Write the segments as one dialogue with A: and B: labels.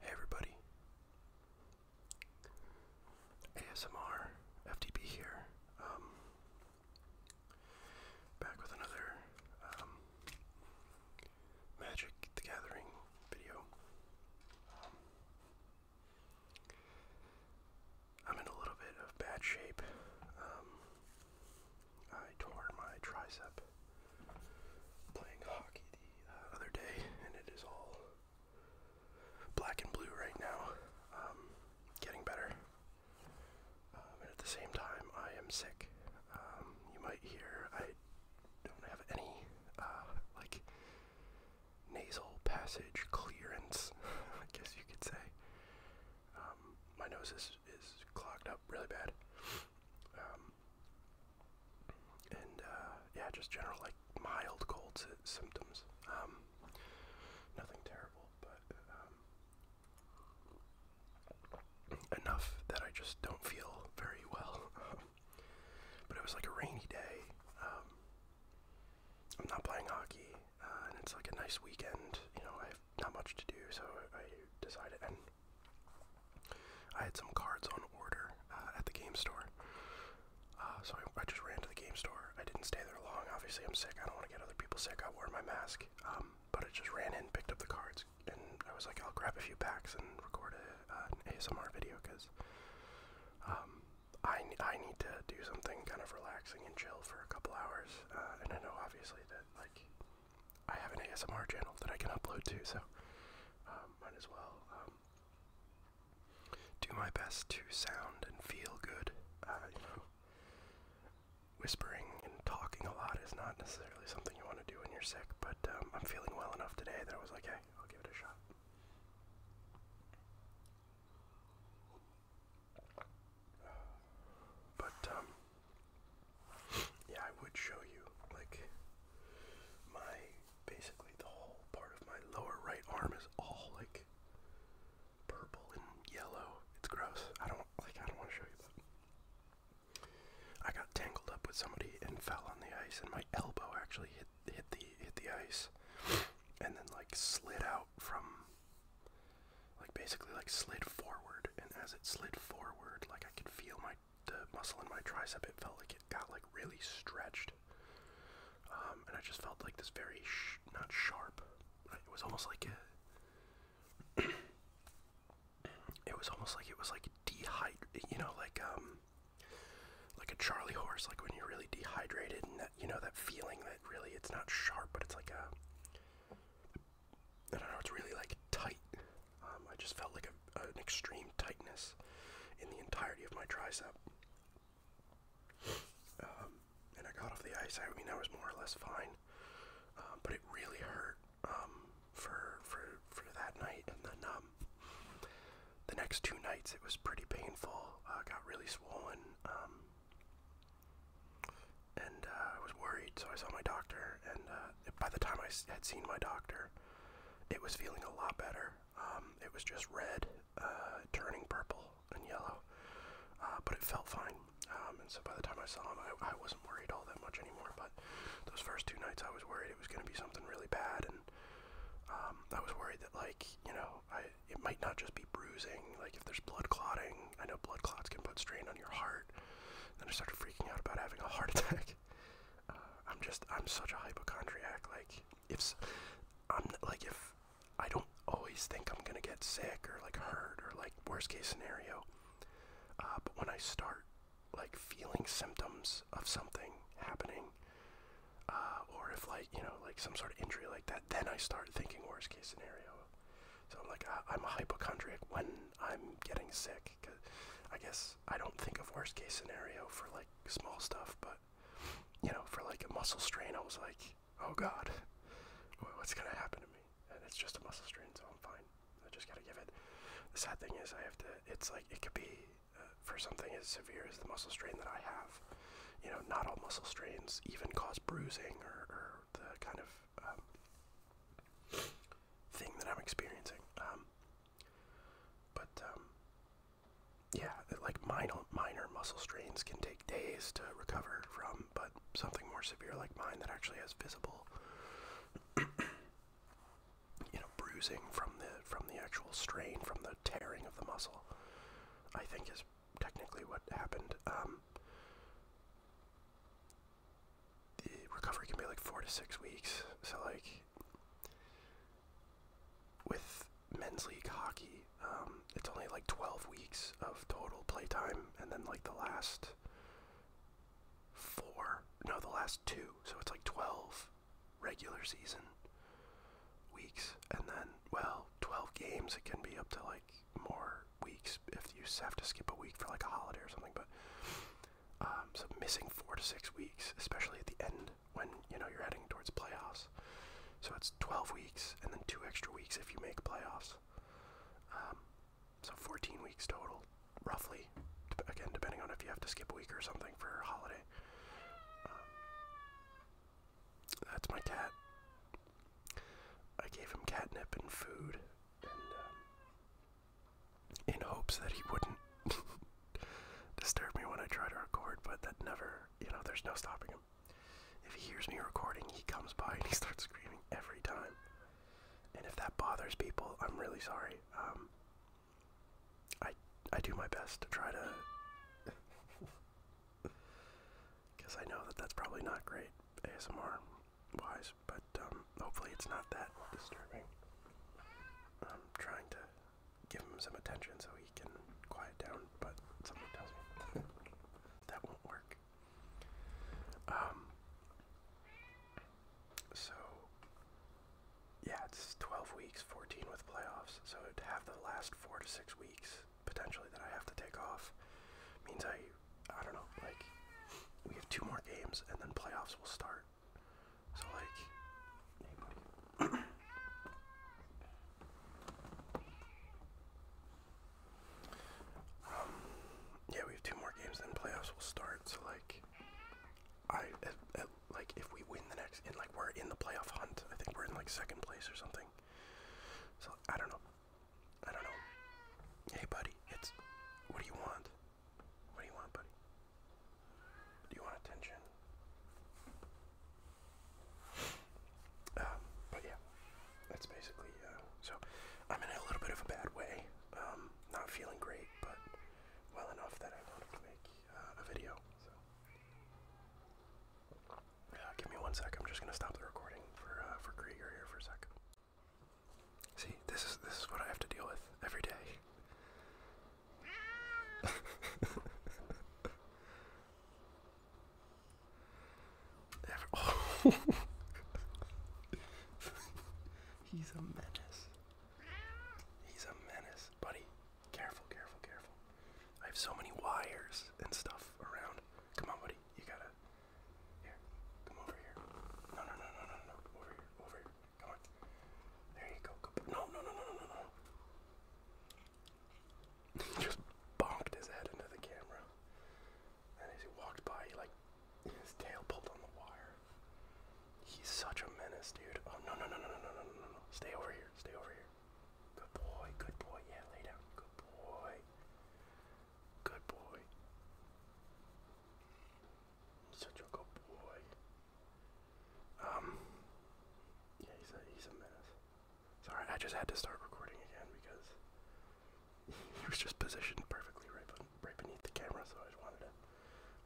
A: Hey everybody. ASMR FTP here. Um, back with another um, Magic the Gathering video. Um, I'm in a little bit of bad shape. I tore my tricep playing hockey the uh, other day, and it is all black and blue right now. Um, getting better. Um, and at the same time, I am sick. Um, you might hear I don't have any uh, like nasal passage clearance, I guess you could say. my nose is, is clogged up really bad. Um, and uh, yeah, just general like mild cold sy symptoms. Um, nothing terrible, but um, enough that I just don't feel very well. Um, but it was like a rainy day. Um, I'm not playing hockey, uh, and it's like a nice weekend. You know, I have not much to do, so I decided. And I had some cards on order uh, at the game store. Uh, so I, just ran to the game store. I didn't stay there long. Obviously, I'm sick. I don't want to get other people sick. I wore my mask. Um, but I just ran in, picked up the cards, and I was like, I'll grab a few packs and record uh, an ASMR video because um, I, I need to do something kind of relaxing and chill for a couple hours. and I know, obviously, that like I have an ASMR channel that I can upload to, so um, might as well um, do my best to sound and feel good. Uh, whispering and talking a lot is not necessarily something you want to do when you're sick, but um, I'm feeling well enough today that I was like, hey, I'll give it a shot. But um, yeah, I would show you like my basically the whole part of my lower right arm is all like purple and yellow. It's gross. I don't like I don't want to show you that. I got tangled up with somebody and fell on the ice and my elbow actually hit hit the hit the ice and then like slid out from like basically like slid forward and as it slid forward like I could feel my the muscle in my tricep it felt like it got like really stretched um, and I just felt like this very not sharp it was almost like a it was almost like it was like dehydrated you know like um like a Charlie horse like when you're really dehydrated and that you know that feeling that really it's not sharp but it's like a I don't know, it's really like tight. Um, I just felt like an extreme tightness in the entirety of my tricep. Um, and I got off the ice. I mean, I was more or less fine, um, but it really hurt for for for that night. And then the next two nights, it was pretty painful. Uh, got really swollen, and uh, I was worried. So I saw my doctor, and uh, by the time I had seen my doctor, it was feeling a lot better. Um, it was just red, uh, turning purple and yellow, uh, but it felt fine. Um, and so by the time I saw him, I, wasn't worried all that much anymore. But those first two nights, I was worried it was going to be something really bad, and um, I was worried that like you know, it might not just be bruising. Like if there's blood clotting, I know blood clots can put strain on your heart. Then I started freaking out about having a heart attack. Uh, I'm just, I'm such a hypochondriac. Like, if I'm like, if I don't always think I'm gonna get sick or like hurt or like worst case scenario, uh, but when I start like feeling symptoms of something happening, uh, or if like you know like some sort of injury like that, then I start thinking worst case scenario. So I'm like, ah, I, am a hypochondriac when I'm getting sick. Cause I guess I don't think of worst case scenario for like small stuff, but you know, for like a muscle strain, I was like, oh God, what's gonna happen to me? And it's just a muscle strain, so I'm fine. I just gotta give it. The sad thing is, I have to. It's like it could be uh, for something as severe as the muscle strain that I have. You know, not all muscle strains even cause bruising or the kind of um, thing that I'm experiencing. Um, but um, yeah, like minor minor muscle strains can take days to recover from, but something more severe like mine that actually has visible, you know, bruising from the from the actual strain from the tearing of the muscle, I think is technically what happened the recovery can be like four to six weeks. So like with men's league hockey, um, it's only like 12 weeks of total playtime, and then like the last four, no, the last two, so it's like 12 regular season weeks, and then, well, 12 games, it can be up to like more weeks if you have to skip a week for like a holiday or something, but um, so missing four to six weeks, especially at the end when you know you're heading towards playoffs. So it's 12 weeks and then two extra weeks if you make playoffs. Um, so 14 weeks total, roughly. Again, depending on if you have to skip a week or something for a holiday. Um, that's my cat. I gave him catnip and food, and in hopes that he wouldn't disturb me when I try to record, but that never, you know, there's no stopping him. If he hears me recording, he comes by and he starts screaming every time. And if that bothers people, I'm really sorry. Um, I I do my best to try to, because I know that that's probably not great ASMR wise but um, hopefully it's not that disturbing. I'm trying to give him some attention so he can quiet down, but something tells me that won't work. Um, so, yeah, it's 12 weeks, 14 with playoffs, so to have the last four to six weeks potentially that I have to take off means I I don't know, like we have two more games and then playoffs will start. So like um yeah, we have two more games then playoffs will start. So like I like if we win the next like we're in the playoff hunt. I think we're in like second place or something. So I don't know. I don't know. Hey buddy, it's what do you want? What do you want, buddy? Do you want attention? Um, but yeah, that's basically, uh, so I'm in a little bit of a bad way. Um, not feeling great, but well enough that I wanted to make uh, a video. So, uh, give me one sec. I'm just gonna stop the recording for uh, for Krieger here for a sec. See, this is this is what I have to deal with every day. Oh. He's a menace. He's a menace, buddy. Careful, careful, careful. I have so many wires and stuff around. Come on, buddy. You gotta here, come over here. No, no, no, no, no, no, over here, over here. Come on. There you go. No, no, no, no, no, no, just bonked his head into the camera. And as he walked by, he like his tail pulled on the wire. He's such a menace, dude. Oh no no no no no no no no no. Stay over here. Stay over here. Good boy. Good boy. Yeah, lay down. Good boy. Good boy. Such a good boy. Um. Yeah, he's a he's a menace. Sorry, I just had to start recording again because he was just positioned perfectly right, beneath the camera, so I just wanted to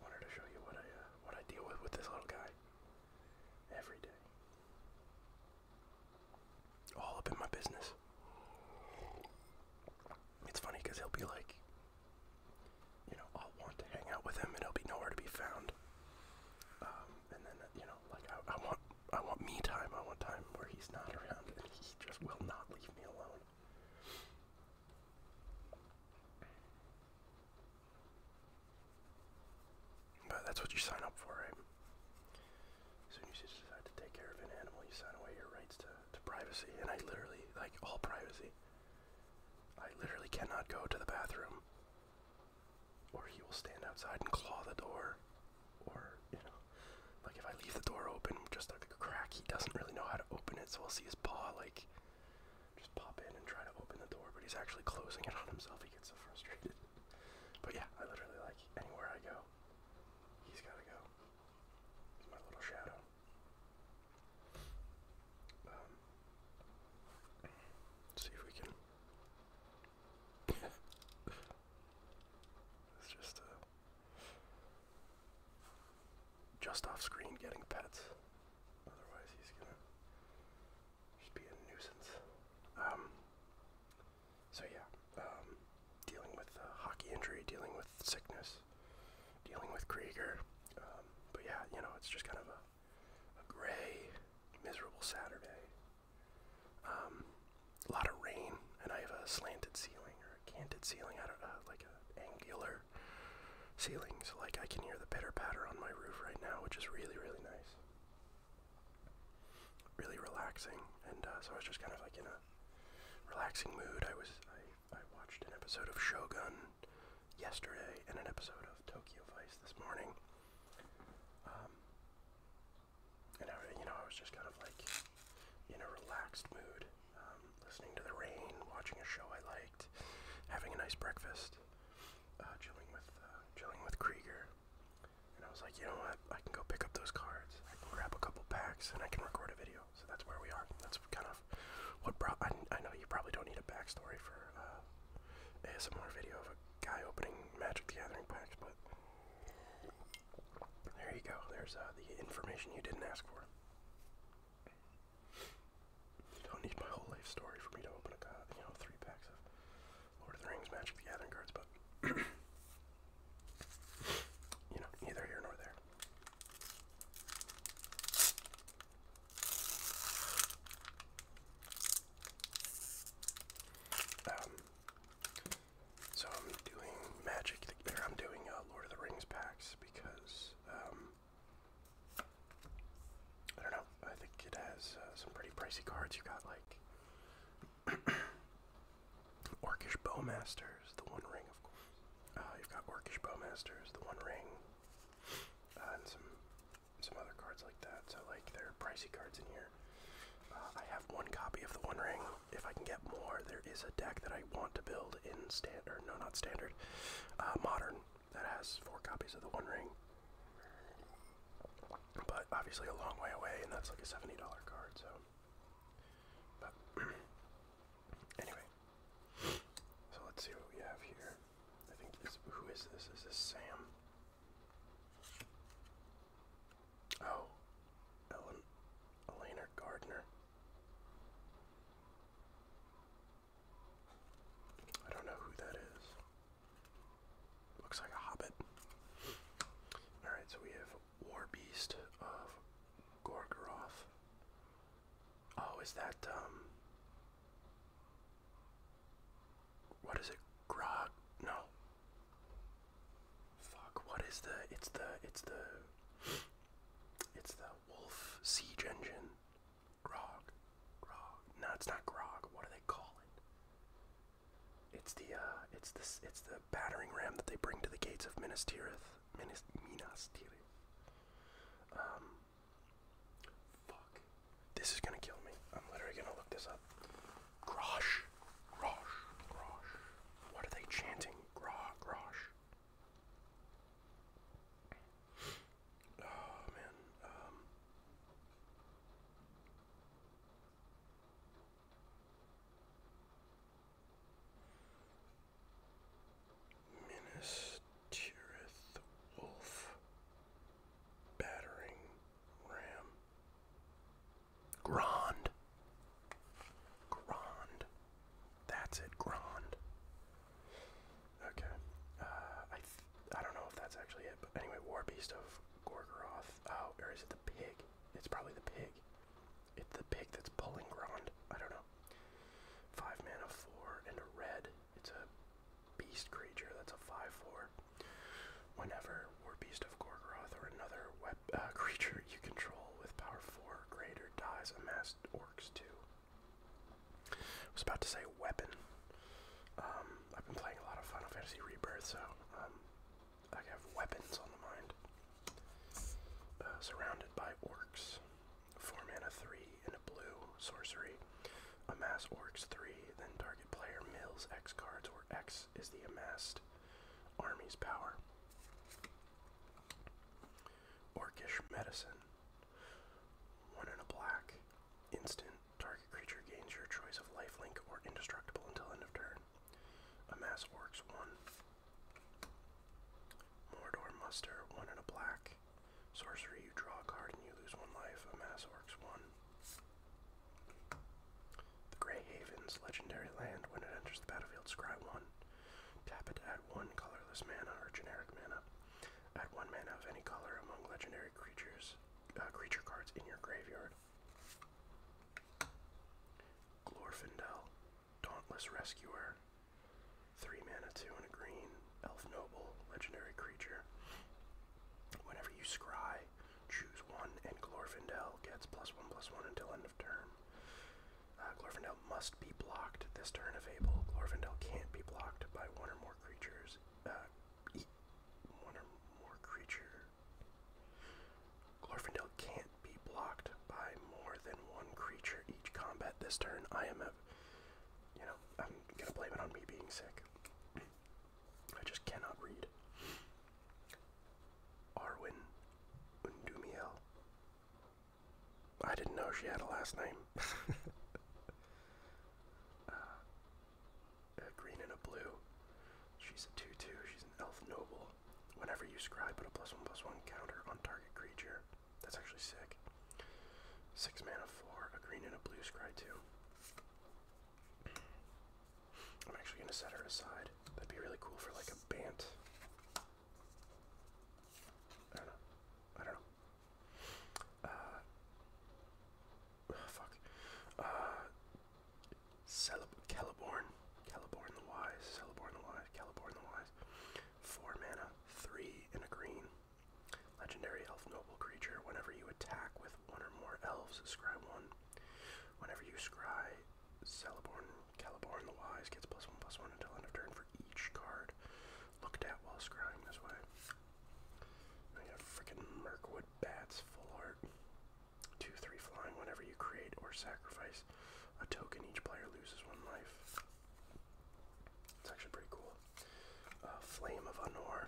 A: wanted to show you what I uh, what I deal with with this little guy every day. All up in my business. It's funny because he'll be like, you know, I'll want to hang out with him and he'll be nowhere to be found. Um, and then, uh, you know, like I, want, I want me time. I want time where he's not around, and he just will not leave me alone. But that's what you sign up for, right? As soon you decide to take care of an animal, you sign away your rights to to privacy, and I literally like all privacy. I literally cannot go to the bathroom, or he will stand outside and claw the door, or you know, like if I leave the door open, just like a crack, he doesn't really know how to open it, so I'll see his paw like just pop in and try to open the door, but he's actually closing it on himself. He gets so frustrated. But yeah, I literally like anywhere I go, he's gotta go my little shadow. Um, see if we can. it's just uh, just off screen getting pets. Otherwise, he's gonna just be a nuisance. Um. So yeah. Um, dealing with uh, hockey injury, dealing with sickness, dealing with Krieger. Um, but yeah, you know, it's just kind of a, gray, miserable Saturday. Um, a lot of rain, and I have a slanted ceiling or a canted ceiling. I don't know, uh, like an angular ceiling. So like I can hear the pitter patter on my roof right now, which is really really nice, really relaxing. And uh, so I was just kind of like you know relaxing mood. I was I, watched an episode of Shogun yesterday and an episode of Tokyo Vice this morning. Um, and I, you know I was just kind of like in a relaxed mood, um, listening to the rain, watching a show I liked, having a nice breakfast, uh, chilling with uh, chilling with Krieger. And I was like, you know what? I can go pick up those cards. I can grab a couple packs, and I can record a video so that's where we are. That's kind of what brought. I, know you probably don't need a backstory for uh, a ASMR video of a guy opening Magic the Gathering packs, but there you go. There's uh, the information you didn't ask for. You don't need my whole life story for me to open a, you know, three packs of Lord of the Rings Magic the Gathering cards, but you know, neither here nor there. Um, so I'm doing Magic, or I'm doing uh, Lord of the Rings packs because, um, I don't know, I think it has uh, some pretty pricey cards. You got like Orkish Bowmasters, the One Ring, of course. Uh, you've got Orkish Bowmasters, the One Ring, uh, and some some other cards like that. So like there are pricey cards in here. Uh, I have one copy of the One Ring. If I can get more, there is a deck that I want to build in standard. No, not standard. modern that has four copies of the One Ring. But obviously a long way away, and that's like a seventy dollar card. So, Anyway, so let's see what we have here. I think this, who is this? Is this Sam? Oh, Ellen, Gardner. I don't know who that is. Looks like a hobbit. Alright, so we have War Beast of Gorgaroth. Oh, is that, um. What is it? Grog? No. Fuck, what is the. It's the. It's the. It's the Wolf Siege Engine. Grog. Grog. No, it's not Grog. What do they call it? It's the, uh, It's the. It's the battering ram that they bring to the gates of Minas Tirith. Minas, Minas Tirith. Um, fuck. This is gonna kill me. I'm literally gonna look this up. Grosh, grosh, grosh. What are they chanting? Grah, grosh. Oh man. Um. Minas Tirith Wolf Battering Ram Grand Grand That's it Grand Okay uh, I I don't know if that's actually it but anyway War Beast of Gorgoroth oh or is it the pig it's probably the pig it's the pig that's pulling Grond. I don't know. Five mana, four, and a red. It's a beast creature. That's a five-four. Whenever War Beast of Gorgoroth or another web, uh, creature you control with power four or greater dies, amassed orcs too. I was about to say weapon. Um, I've been playing a lot of Final Fantasy Rebirth, so um, I have weapons on the mind. Uh, surrounded by orcs. 4 mana 3 and a blue sorcery. Amass orcs 3, then target player mills X cards, where X is the amassed army's power. Orcish medicine. 1 and a black. Instant. Target creature gains your choice of lifelink or indestructible until end of turn a Mass Orcs 1, Mordor Muster 1 and a black, Sorcery, you draw a card and you lose 1 life, a Mass Orcs 1. The Grey Haven's legendary land, when it enters the battlefield, scry 1. Tap it, add 1 colorless mana or generic mana. Add 1 mana of any color among legendary creatures, uh, creature cards in your graveyard. Glorfindel, Dauntless Rescuer. Three mana, two and a green. Elf Noble, legendary creature. Whenever you scry, choose one, and Glorfindel gets plus one plus one until end of turn. Uh, Glorfindel must be blocked this turn if able. Glorfindel can't be blocked by one or more creatures. Uh, one or more creature. Glorfindel can't be blocked by more than one creature each combat this turn. I am a, you know, I'm gonna blame it on me being sick. I just cannot read. Arwen Undumiel. I didn't know she had a last name. Uh, a green and a blue. She's a 2-2. She's an elf noble. Whenever you scry, put a plus one plus one counter on target creature. That's actually sick. Six mana for a green and a blue scry too. I'm actually gonna set her aside. That'd be really cool for like a bant. I don't know. I don't know. Uh, fuck. Uh, Celeb Celeborn, Celeborn the Wise, Celeborn the Wise, Celeborn the Wise. Four mana, three in a green. Legendary elf noble creature. Whenever you attack with one or more elves, scry one. Whenever you scry, Celeborn, Celeborn the Wise gets plus one plus one until end of turn for each card looked at while scrying this way. I got freaking Mirkwood bats full art. 2 3 flying whenever you create or sacrifice a token, each player loses one life. It's actually pretty cool. Uh, Flame of Anor.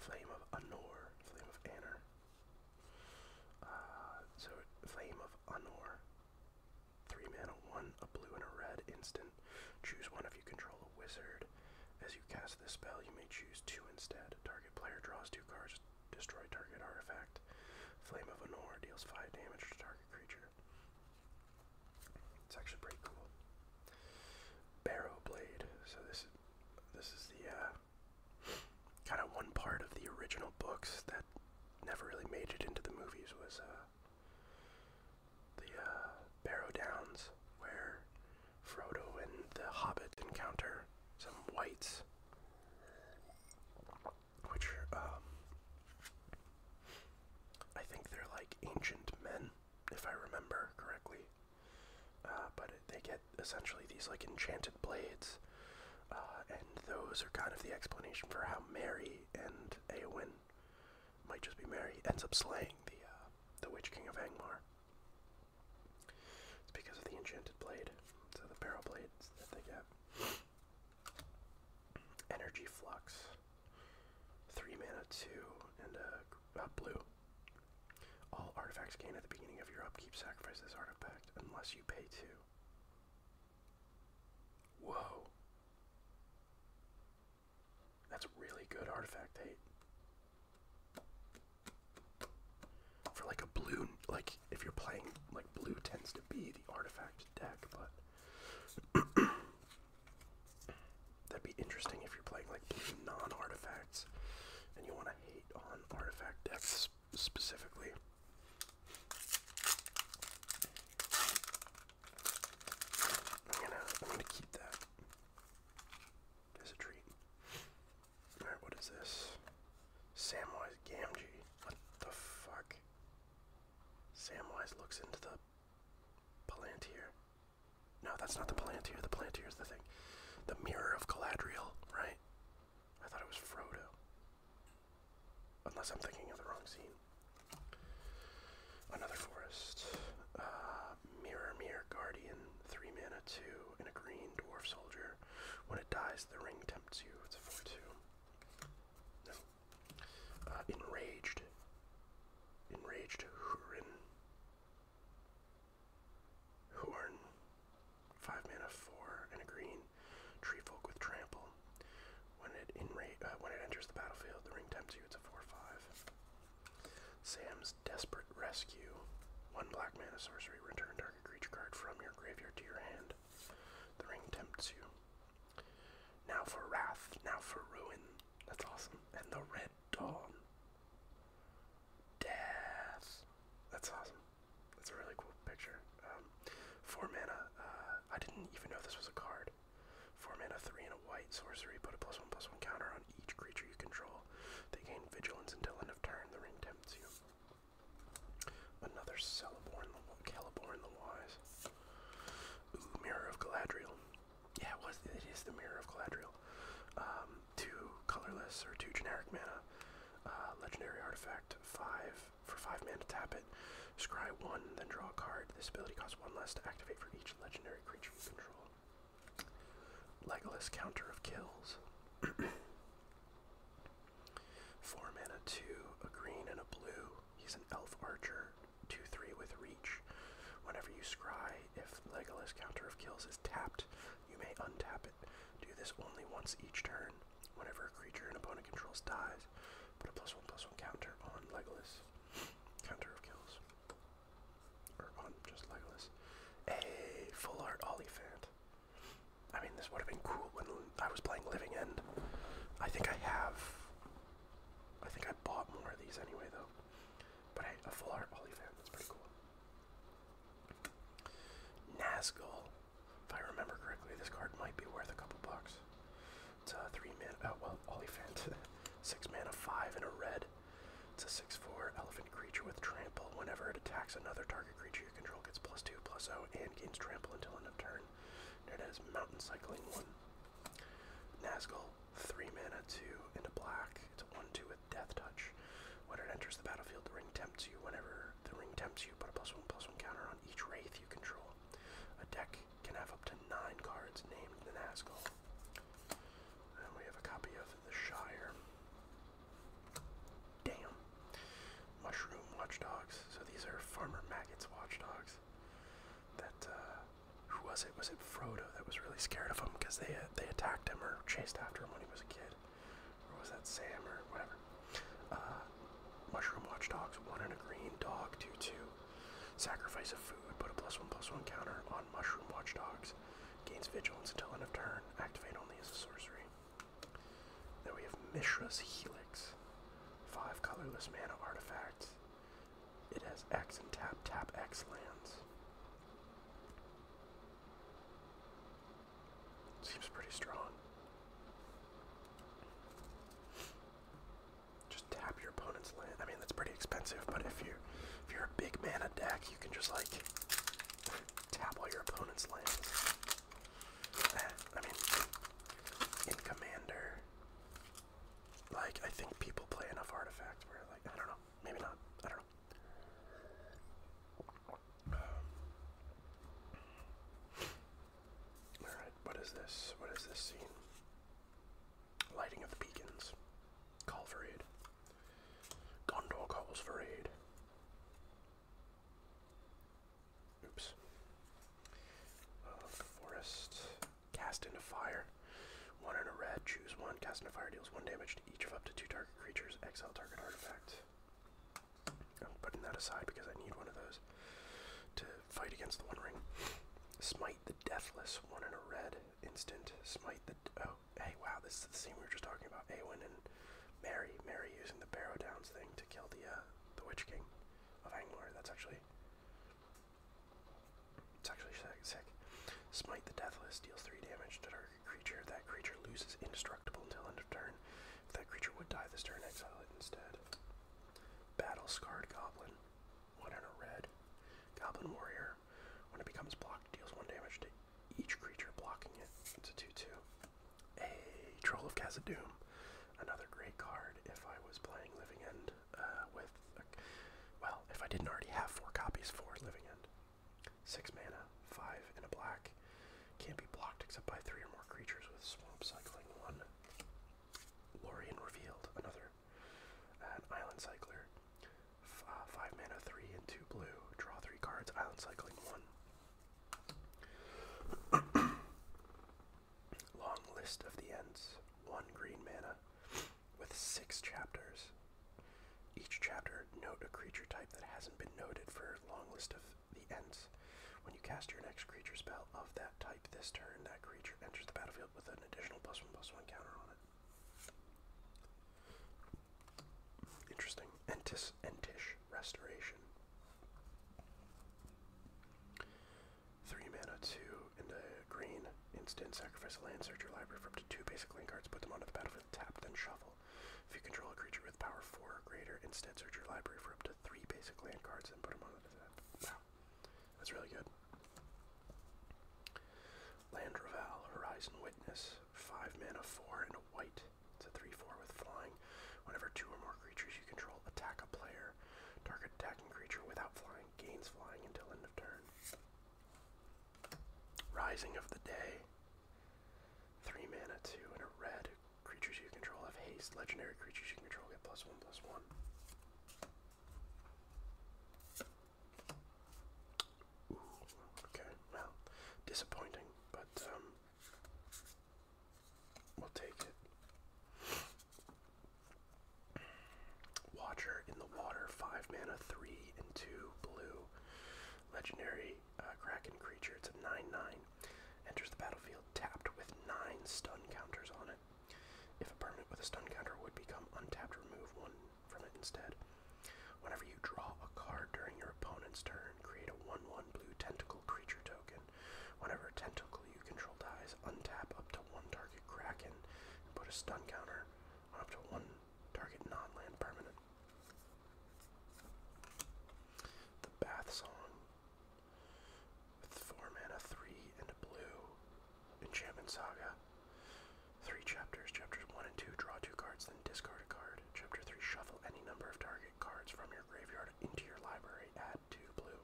A: Flame of Anor. Flame of Anor. Uh, so, Flame of Anor. Three mana, one, a blue, and a red instant. Choose one if you control a wizard. As you cast this spell, you may choose two instead. Target player draws two cards Destroy target artifact. Flame of Honor deals 5 damage to target creature. It's actually pretty cool. Barrow Blade. So this is this is the uh, kind of one part of the original books that never really made it into the movies was uh, the uh, Barrow Downs, where Frodo and the Hobbit encounter some wights which um, I think they're like ancient men, if I remember correctly. Uh, but they get essentially these like enchanted blades, uh, and those are kind of the explanation for how Mary and Eowyn, might just be Mary, ends up slaying the uh, the Witch King of Angmar. It's because of the enchanted blade, so the barrel blades that they get. Energy flux, three mana, two, and a blue. All artifacts gain at the beginning of your upkeep sacrifice this artifact unless you pay two. Whoa. That's a really good artifact hate. For like a blue, like if you're playing, like blue tends to be the artifact deck, but that'd be interesting if you're playing like non artifacts and you want to hate on artifact decks specifically. I'm I'm gonna keep that as a treat what is this? Samwise Gamgee. What the fuck? Samwise looks into the Palantir. No, that's not the Palantir. The Palantir is the thing. The Mirror of Galadriel, right? I thought it was Frodo. Unless I'm thinking of the wrong scene. Another forest. Uh, mirror, mirror, guardian. Three mana, two, and a green dwarf soldier. When it dies, the ring tempts you. It's a 4 2. No. Uh, enraged. Enraged Hurin. Horn. 5 mana, 4, and a green. Tree folk with trample. When it, enra uh, when it enters the battlefield, the ring tempts you. It's a 4 5. Sam's Desperate Rescue. One black mana sorcery returned to creature card from your graveyard to your hand. The ring tempts you. Now for wrath, now for ruin. That's awesome. And the red dawn. Death. That's awesome. That's a really cool picture. Um, four mana. Uh, I didn't even know this was a card. Four mana, three and a white sorcery. Put a plus one plus one counter on each creature you control. They gain vigilance until end of turn. The ring tempts you. Another Celeborn the the Wise. Mirror of Galadriel. Yeah, it is the Mirror of Galadriel. Um, two colorless or two generic mana. Uh, legendary artifact, five for five mana to tap it. Scry one, then draw a card. This ability costs one less to activate for each legendary creature you control. Legolas counter of kills. Four mana, two, a green and a blue. He's an elf archer, two three with reach. Whenever you scry, if Legolas Counter of Kills is tapped, you may untap it. Do this only once each turn. Whenever a creature an opponent controls dies, put a plus one plus one counter on Legolas. Counter of Kills. Or on just Legolas. A full art Olifant. I mean, this would have been cool when I was playing Living End. I think I have. I think I bought more of these anyway, though. But hey, a full art Olifant, that's pretty cool. Nazgul. If I remember correctly, this card might be worth a couple bucks. It's a three man, oh well, Olifant. six mana, five, and a red. It's a 6 4 elephant creature with trample. Whenever it attacks another target creature you control gets plus 2, plus 0, and gains trample until end of turn. It has Mountain Cycling 1. Nazgul, 3 mana, 2, and a black. It's a 1 2 with Death Touch. When it enters the battlefield, the ring tempts you. Whenever the ring tempts you, put a plus 1 plus 1 counter on each wraith you control. A deck can have up to 9 cards named the Nazgul. And we have a copy of The Shire. Damn. Mushroom watchdogs. So these are Farmer Maggot's watchdogs. That, uh, who was it? Was it Frodo that was really scared of him because they, uh, they attacked him or chased after him when he was a kid? Or was that Sam or whatever? Uh, mushroom watchdogs. One and a green dog. 2 2. Sacrifice of food. Put a plus 1 plus 1 counter on mushroom watchdogs. Gains vigilance until end of turn. Activate only as a sorcery. Then we have Mishra's Helix. Five colorless mana artifacts. It has X and tap, tap X lands. Seems pretty strong. Just tap your opponent's land. I mean, that's pretty expensive, but if you if you're a big mana deck, you can just like tap all your opponent's lands. I mean, in Commander, like, I think people play enough artifacts where, like, I don't know, maybe not, I don't know. Um, Alright, what is this? What is this scene? Lighting of the beacons. Call for aid. Gondor calls for aid. Oops. Uh, forest. Cast into fire. One and a red. Choose one. Cast into fire deals one damage to each of up to two target creatures. Exile target artifact. I'm putting that aside because I need one of those to fight against the One Ring. Smite the Deathless. One in a red. Instant. Smite the. Oh, hey, wow, this is the scene we were just talking about, Awen and Mary, Mary using the Barrow Downs thing to kill the uh, the Witch King of Angmar. That's actually it's actually sick. Smite the Deathless deals three damage to target creature. That creature loses indestructible until end of turn. If that creature would die this turn, exile it instead. Battle Scarred Goblin, one in a red. Goblin Warrior, when it becomes blocked, deals one damage to each creature blocking it. It's 2 2. A Troll of Kazadum, another great card if I was playing Living End uh, with. well, if I didn't already have four copies for Living End. Six mana, five in a black. Can't be blocked except by three or more creatures with Swamp Cycling 1. Lorien Revealed, another. An Island Cycler five mana, three and two blue. Draw three cards. Island cycling one. Long list of the ends. One green mana, with six chapters. Each chapter note a creature type that hasn't been noted for long list of the ends. When you cast your next creature spell of that type this turn, that creature enters the battlefield with an additional plus one plus one counter on it. Interesting. Entis, Entish Restoration. Three mana, two, and a green. Instant, sacrifice a land, search your library for up to two basic land cards, put them onto the battlefield, tap, then shuffle. If you control a creature with power four or greater, instead search your library for up to three basic land cards and put them onto the battlefield. Wow. That's really good. Land Raval, Horizon Witness. 5 mana, 4, and a white. It's a 3-4 with flying. Whenever two or more creatures you control attack a player, target attacking creature without flying gains flying until end of turn. Rising of the Day. 3 mana, 2, and a red. Creatures you control have haste. Legendary creatures you control get plus 1, plus 1 okay, well, disappointing, but um, we'll take it. Watcher in the water, five mana, three and two blue, legendary uh, kraken creature. It's a nine-nine. Enters the battlefield tapped with nine stun counters on it. If a permanent with a stun counter would become untapped, remove one from it instead. Whenever you draw a card during your opponent's turn, create a 1 1 blue tentacle creature token. Whenever a tentacle you control dies, untap up to one target Kraken and put a stun counter on up to one target non land permanent. The Bath Song. With 4 mana, 3 and a blue. Enchantment Saga. Three chapters. Chapters 1 and 2 draw two cards, discard a card. Chapter 3, shuffle any number of target cards from your graveyard into your library. Add 2 blue.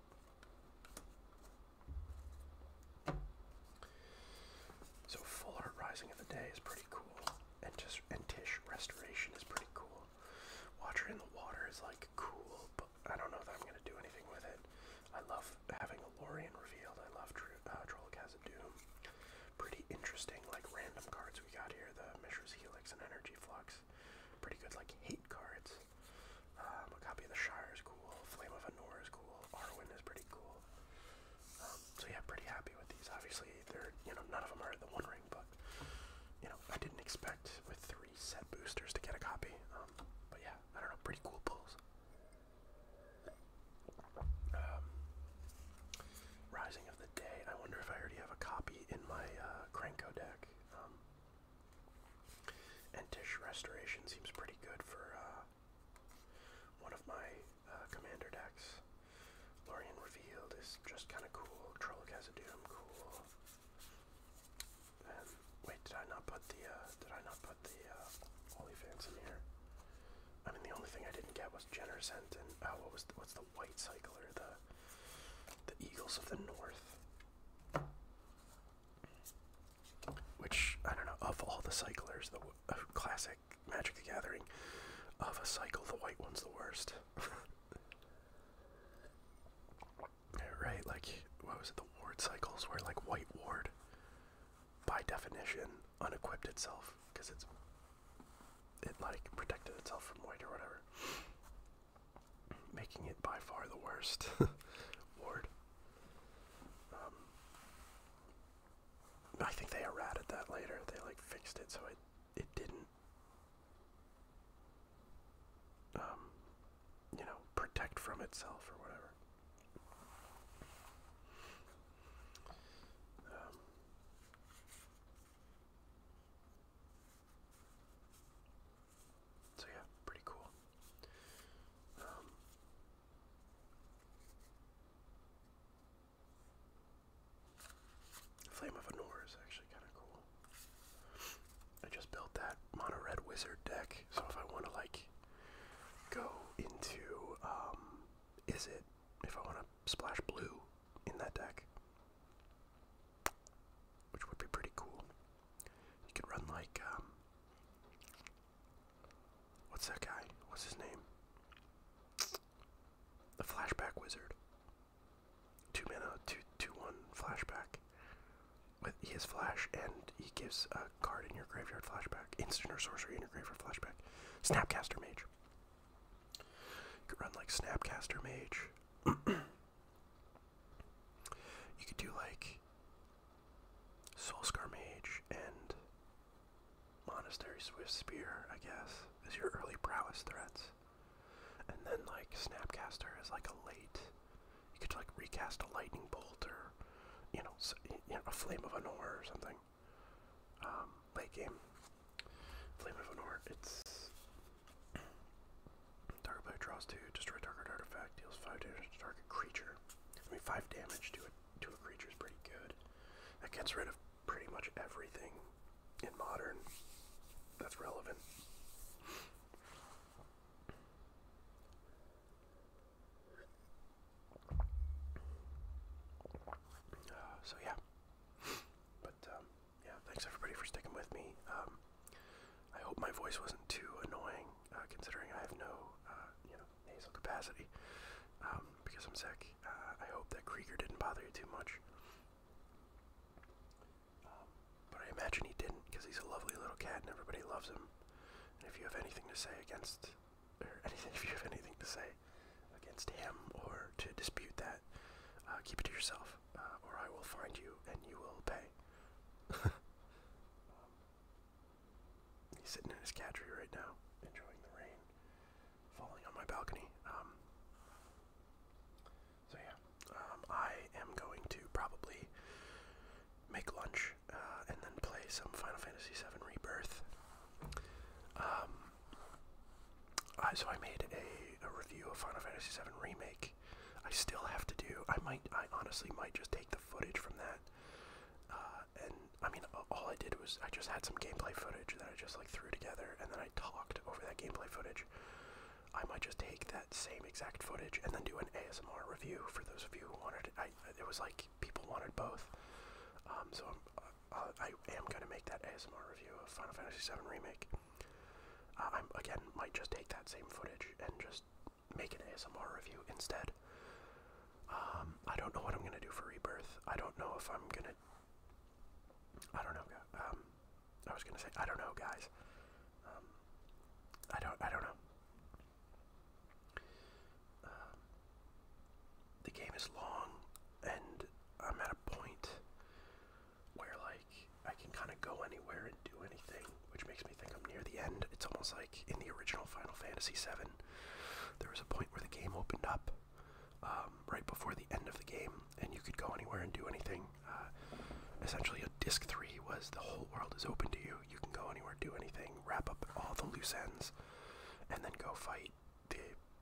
A: So Full Art Rising of the Day is pretty cool. And, just, and Tish Restoration is pretty cool. Water in the Water is like cool, but I don't know if I'm going to do anything with it. I love having a Lorian revealed. I love uh, Trollcast Pretty interesting, like random cards we got here. The Mishra's Helix and Energy Flux. Pretty good, like hate cards. Um, a copy of the Shire is cool. Flame of Anor is cool. Arwen is pretty cool. Um, so yeah, pretty happy with these. Obviously, they're you know none of them are the One Ring, but you know I didn't expect with three set boosters to get a copy. Um, but yeah, I don't know, pretty cool pulls. Um, Rising of the Day. I wonder if I already have a copy in my uh, deck. Um, and Tish Restoration seems pretty good for uh, one of my uh, commander decks. Lorien Revealed is just kind of cool. Trolloc has cool. wait, did I not put the uh, did I not put the uh, Olifants in here? I mean, the only thing I didn't get was Jenner's Hent and oh, what was the, what's the White Cycler, the the Eagles of the North? Which I don't know. Of all the cyclers, the uh, classic Magic the Gathering, of a cycle, the white one's the worst. right? Like, what was it? The ward cycles were like white ward. By definition, unequipped itself because it's it like protected itself from white or whatever, making it by far the worst ward. Um, I think they errated that later. They like fixed it so it it didn't um, you know protect from itself or whatever. Um, so yeah, pretty cool. Um, Flame of Honor is actually kind of cool. I just built that mono red wizard deck, so if I want to like go into um, is it if I want to splash blue in that deck, which would be pretty cool. You could run like, um, what's that guy? What's his name? The Flashback Wizard. Two mana, two, two, one flashback. With he has flash and he gives a card in your graveyard flashback, instant or sorcery in your graveyard flashback. Snapcaster Mage. You could run like Snapcaster Mage. you could do like Soulscar Mage and Monastery Swift Spear, I guess, is your early prowess threats. And then like Snapcaster is like a late. You could like recast a lightning bolt or you know, a flame of honor or something. Um, late game. Flame of an it's target player draws two, destroy target artifact, deals five damage to target creature. I mean, five damage to a to a creature is pretty good. That gets rid of pretty much everything in modern that's relevant. so yeah, but um, yeah, thanks everybody for sticking with me. Um, I hope my voice wasn't too annoying, uh, considering I have no, uh, you know, nasal capacity um, because I'm sick. Uh, I hope that Krieger didn't bother you too much, but I imagine he didn't because he's a lovely little cat and everybody loves him. if you have anything to say against anything, if you have anything to say against him or to dispute that, uh, keep it to yourself, uh, or I will find you and you will pay. he's sitting in his cadre right now, enjoying the rain, falling on my balcony. Um, so yeah, um, I am going to probably make lunch uh, and then play some Final Fantasy VII Rebirth. Um, so I made a, review of Final Fantasy VII Remake. I still have to do. I might. I honestly might just take the footage from that. Uh, and I mean, all I did was I just had some gameplay footage that I just like threw together, and then I talked over that gameplay footage. I might just take that same exact footage and then do an ASMR review for those of you who wanted it. it was like people wanted both. Um, so I'm, uh, I am gonna make that ASMR review of Final Fantasy VII Remake. Uh, I'm again might just take that same footage and just make an ASMR review instead. Um, I don't know what I'm gonna do for Rebirth. I don't know if I'm gonna. I don't know. Um, I was gonna say I don't know, guys. Um, I don't. I don't know the game is long, and I'm at a point where like I can kind of go anywhere and do anything, which makes me think I'm near the end. It's almost like in the original Final Fantasy VII, there was a point where the game opened up um, right before the end of the game, and you could go anywhere and do anything. Uh, essentially, a disc three was the whole world is open to you. You can go anywhere, do anything, wrap up all the loose ends, and then go fight the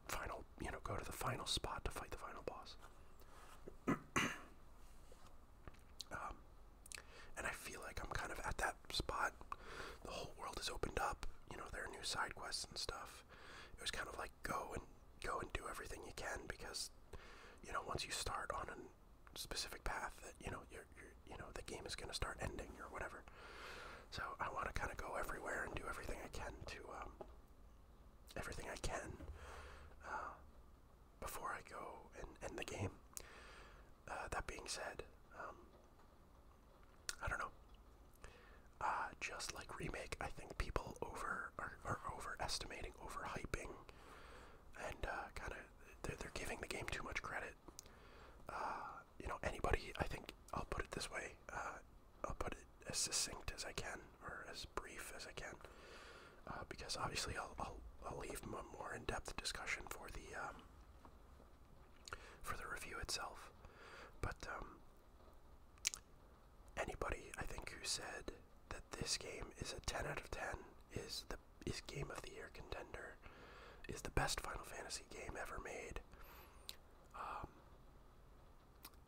A: final, you know, go to the final spot to fight the final boss. Um, and I feel like I'm kind of at that spot. The whole world is opened up. You know, there are new side quests and stuff. It was kind of like go and go and do everything you can because, you know, once you start on a specific path, that you know, you're you know, the game is going to start ending or whatever. So I want to kind of go everywhere and do everything I can to um, everything I can uh, before I go and end the game. Uh, that being said, um, I don't know. Uh, just like remake, I think people over are, overestimating, overhyping, and kind of they're, giving the game too much credit you know, anybody, I think I'll put it this way, uh, I'll put it as succinct as I can, or as brief as I can, uh, because obviously I'll, I'll, I'll leave more in-depth discussion for the, um, for the review itself, but, um, anybody, I think, who said that this game is a 10 out of 10, is the is game of the year contender, is the best Final Fantasy game ever made, um,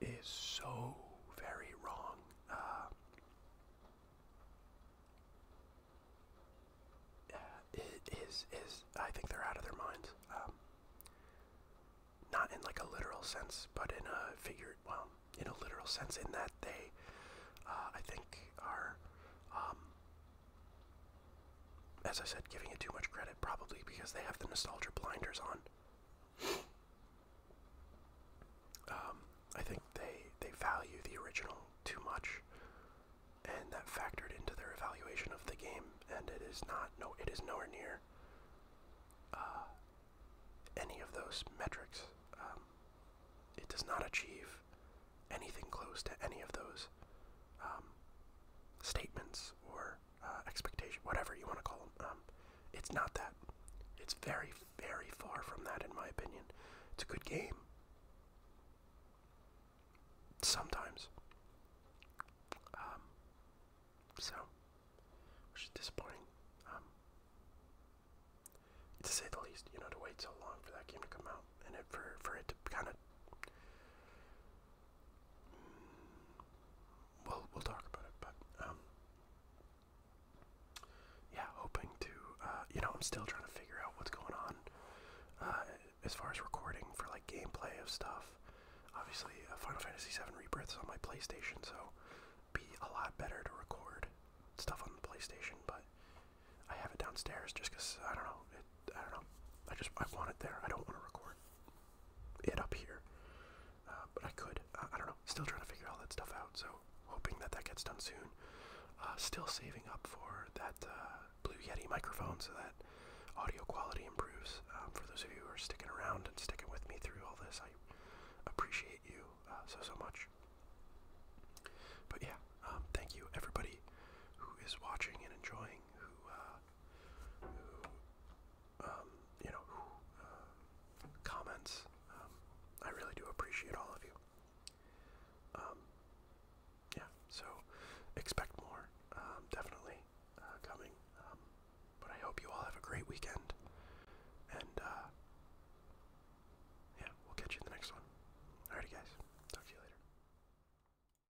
A: is so very wrong. Uh, it is is I think they're out of their minds. Um, not in like a literal sense, but in a figure. Well, in a literal sense, in that they, uh, I think, are um, as I said, giving it too much credit, probably because they have the nostalgia blinders on. Um, I think they they value the original too much, and that factored into their evaluation of the game. And it is not no, it is nowhere near uh, any of those metrics. Um, it does not achieve anything close to any of those um, statements or uh, expectation, whatever you want to call them. Um, it's not that. It's very, very far from that, in my opinion. It's a good game. Sometimes. Um, so, which is disappointing. Um, to say the least, you know, to wait so long for that game to come out and for, for it to kind of we'll we'll talk about it. But um, yeah, hoping to uh, you know I'm still trying to figure out what's going on uh, as far as recording for like gameplay of stuff. Obviously, uh, Final Fantasy VII Rebirth's on my PlayStation, so be a lot better to record stuff on the PlayStation. But I have it downstairs just because I don't know I don't know. I just I want it there. I don't want to record it up here, uh, but I could. I don't know. Still trying to figure all that stuff out. So hoping that that gets done soon. Uh, still saving up for that uh, Blue Yeti microphone so that audio quality improves. Um, for those of you who are sticking around and sticking with me through all this, I appreciate you so so much. But yeah, um, thank you everybody who is watching and enjoying, who um, you know, who uh, comments. Um, I really do appreciate all of you. Um, yeah, so expect more, definitely uh, coming. but I hope you all have a great weekend, and uh, yeah, we'll catch you in the next one. Alrighty, guys, talk to you later.